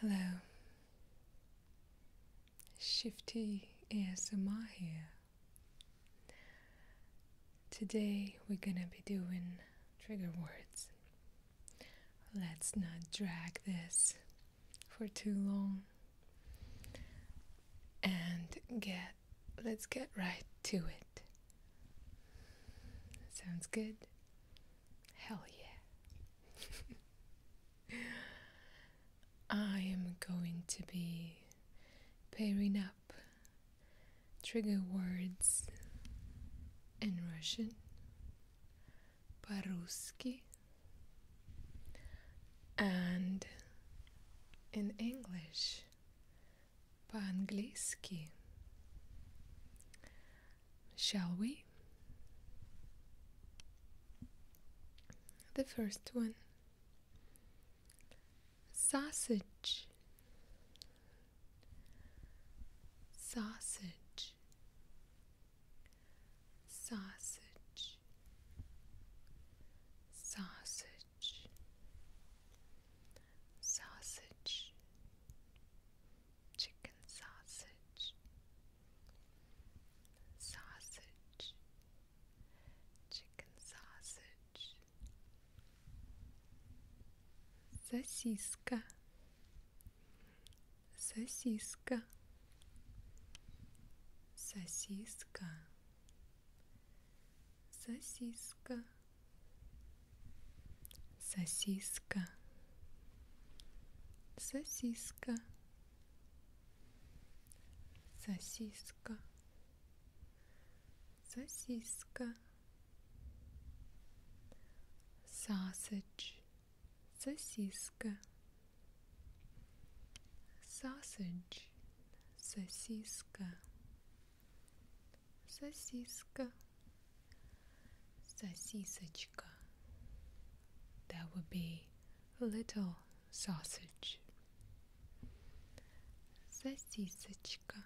Hello, Shifty ASMR here. Today we're gonna be doing trigger words. Let's not drag this for too long and get let's get right to it. Sounds good? Hell yeah. I am going to be pairing up trigger words in Russian, по and in English, по shall we? The first one sausage, sausage, sausage, sausage, sausage, chicken sausage, sausage, chicken sausage, сосиска, сосиска, сосиска, сосиска сосиска сосиска сосиска сосиска sausage сосиска sausage сосиска сосиска, сосисочка. That would be little sausage. Сосисочка,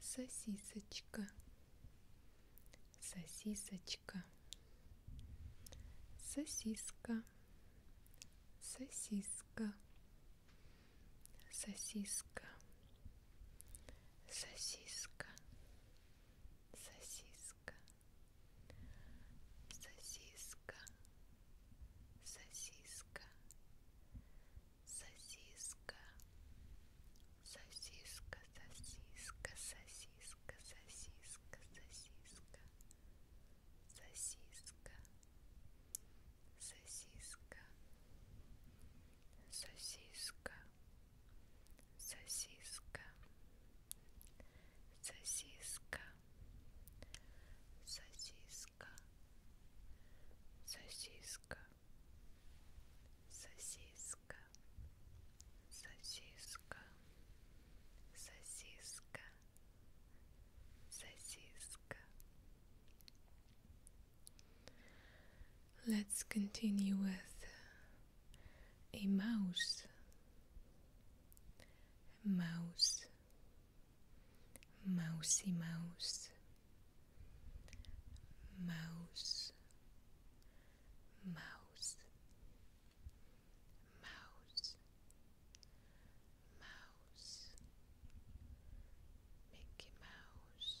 сосисочка, сосисочка, сосиска, сосиска, сосиска сосиска сосиска сосиска сосиска сосиска сосиска сосиска сосиска сосиска сосиска сосиска сосиска сосиска сосиска сосиска сосиска сосиска сосиска сосиска сосиска сосиска Let's continue with a mouse. Mouse. Mousy mouse. Mouse. Mouse. Mouse. Mouse. Mickey Mouse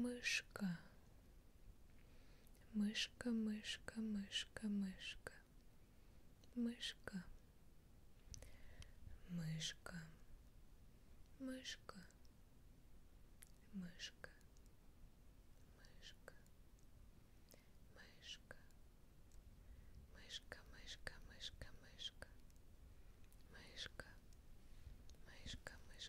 мышка мышка мышка мышка мышка мышка мышка мышка мышка мышка мышка мышка мышка мышка мышка мышка мышка мышка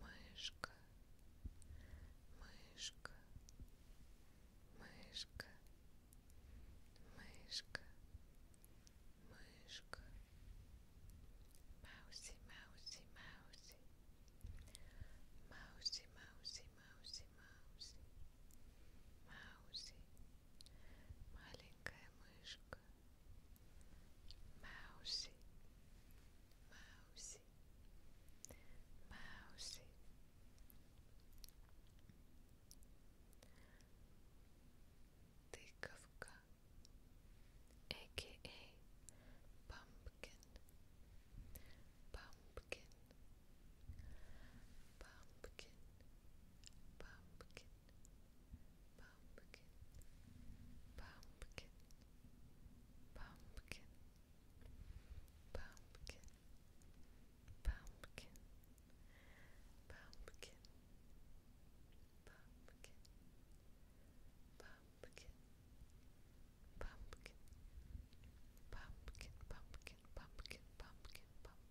мышка, мышка, мышка, мышка, мышка, мауси, мауси, мауси, мауси, мауси, мауси, мауси, мауси, маленькая мышка. Mousy, mousy, mousy. Тыковка, aka pumpkin, pumpkin, pumpkin, pumpkin, pumpkin, pumpkin, pumpkin, pumpkin, pumpkin, pumpkin, pumpkin, pumpkin, pumpkin, pumpkin, pumpkin, pumpkin, pumpkin, pumpkin. Pumpkin, pumpkin, pumpkin,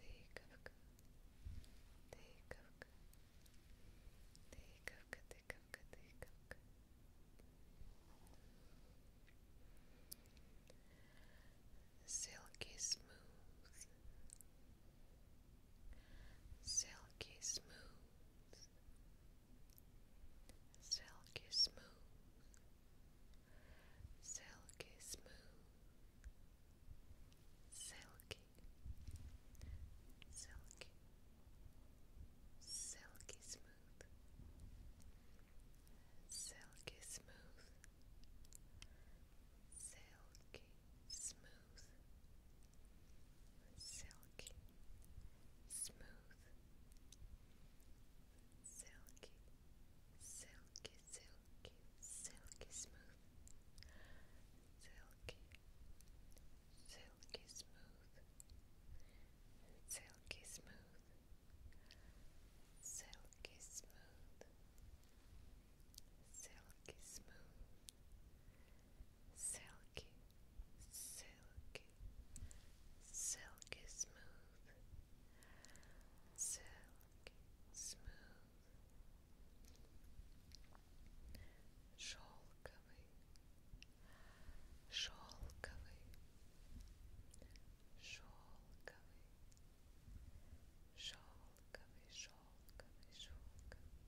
Deykovka, Deykovka, Deykovka, Deykovka, Deykovka. Silky smooth, silky smooth, silky smooth silky smooth, silky, silky, silky smooth, silky smooth, silky smooth, silky smooth. Silky, silky, silky, silky smooth, silky, silky smooth, silky smooth, silky smooth, silky smooth, silky, silky, silky smooth. Silky, smooth, шелковый, шелковый, шелковый, шелковый, шелковый, шелковый, шелковый,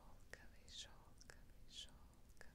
шелковый, шелковый, шелковый.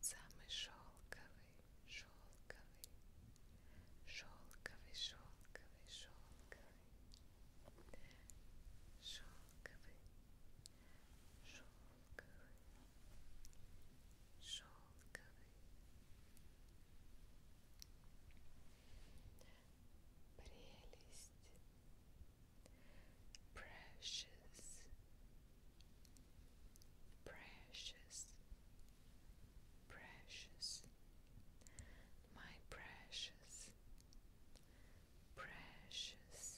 Самый шелковый, шелковый, шелковый, шелковый, шелковый, шелковый, шелковый, шелковый. Прелесть, precious, precious precious, my precious, precious,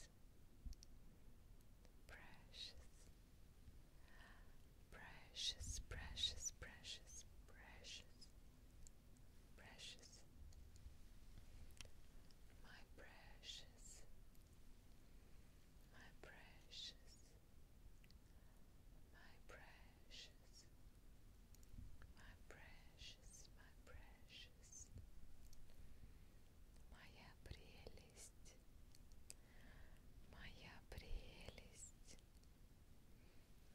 precious, precious, precious, precious, precious, precious, my precious, my precious my precious, my precious, my precious, моя прелесть, моя прелесть, моя прелесть,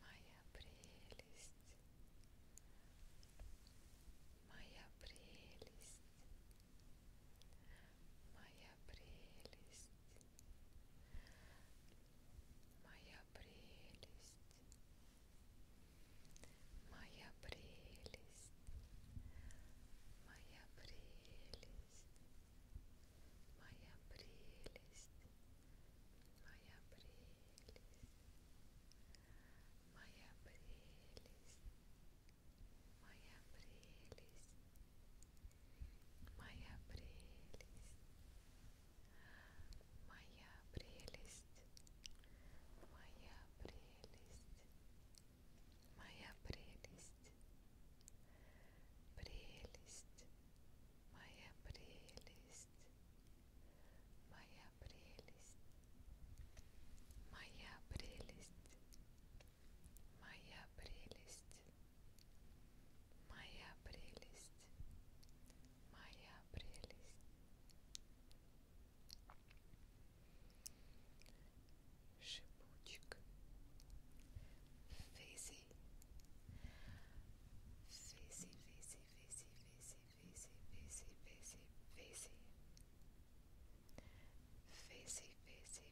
моя прелесть. Моя прелесть, Моя прелесть, моя прелесть, моя прелесть, моя прелесть, моя прелесть, моя прелесть, моя прелесть. Моя прелесть, Maya Brilis Maya Brilis Моя прелесть, моя прелесть, моя прелесть, прелесть, моя прелесть, моя прелесть, моя прелесть, моя прелесть, моя прелесть, моя прелесть. Шипучек, физи, физи, физи, физи, физи, физи, физи, физи, физи, физи, физи,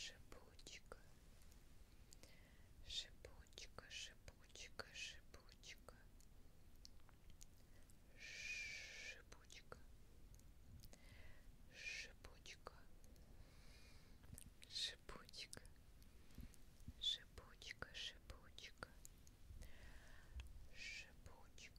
шипучка шипучка шипучка шипучка шипучка шипучка шипучка шипучка шипучка шипучка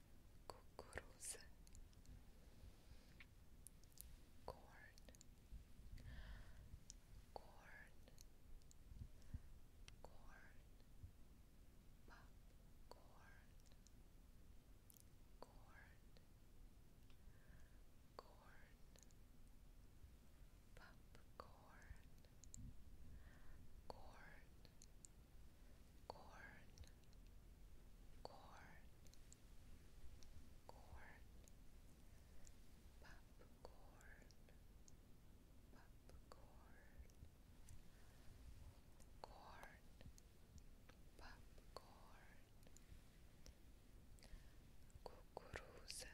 kukuruza corn corn corn popcorn corn corn popcorn corn corn, corn, corn, popcorn, popcorn, corn, popcorn, cucuruza, cucuruza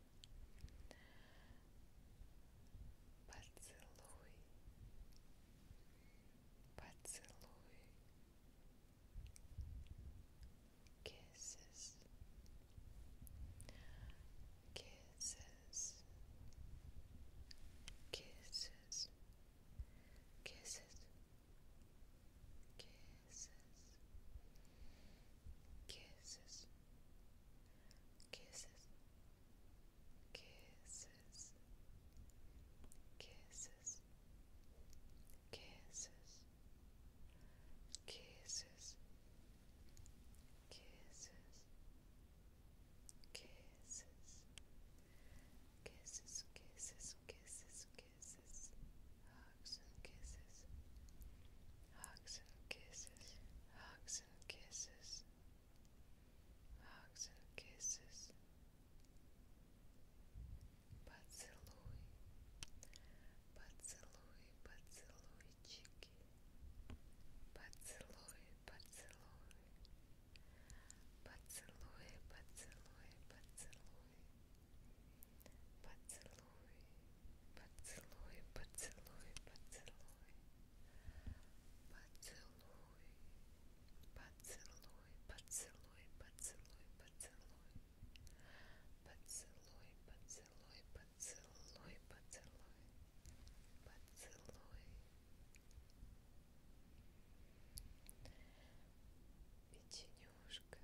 kisses, kisses, kisses, kisses, kisses kisses, kisses, kisses, kisses, kisses, kisses, kisses. Kisses, kisses, kisses, kisses, kisses. Ah, hugs and kisses, hugs and kisses, hugs and kisses, hugs and kisses. Поцелуй, поцелуй, поцелуйчики, поцелуй, поцелуй, поцелуй, поцелуй, поцелуй, поцелуй. поцелуй, поцелуй, поцелуй, поцелуй, поцелуй, поцелуй, поцелуй, поцелуй, поцелуй, поцелуй, поцелуй, поцелуй, поцелуй, поцелуй. Печенюшка,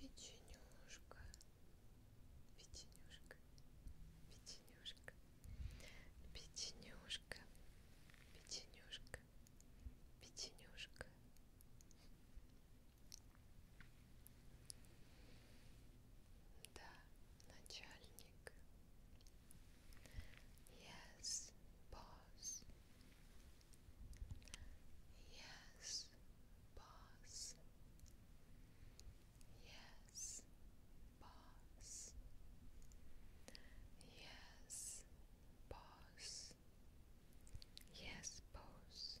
печенюшка печенюшка печенюшка печенюшка печенюшка печенюшка да начальник yes boss Yes, boss. Yes, boss. Yes, boss. Yes, boss.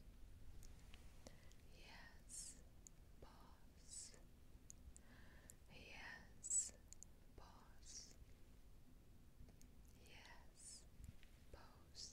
Yes, boss. Yes, boss. Yes, boss.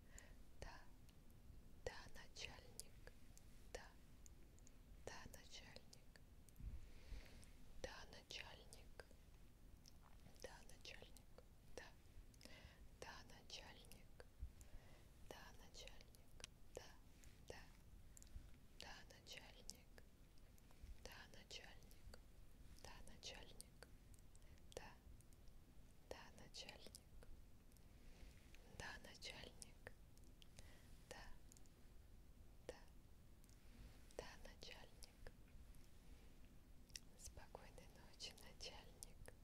Да, да, начальник. Да, да, начальник. Да, начальник. Да, начальник. Да. Да, начальник. Да, начальник. Да, да. Да, начальник. Да, начальник. Да, начальник. Да. Да, начальник начальник? Да, начальник. Да, да, да, начальник. Спокойной ночи, начальник.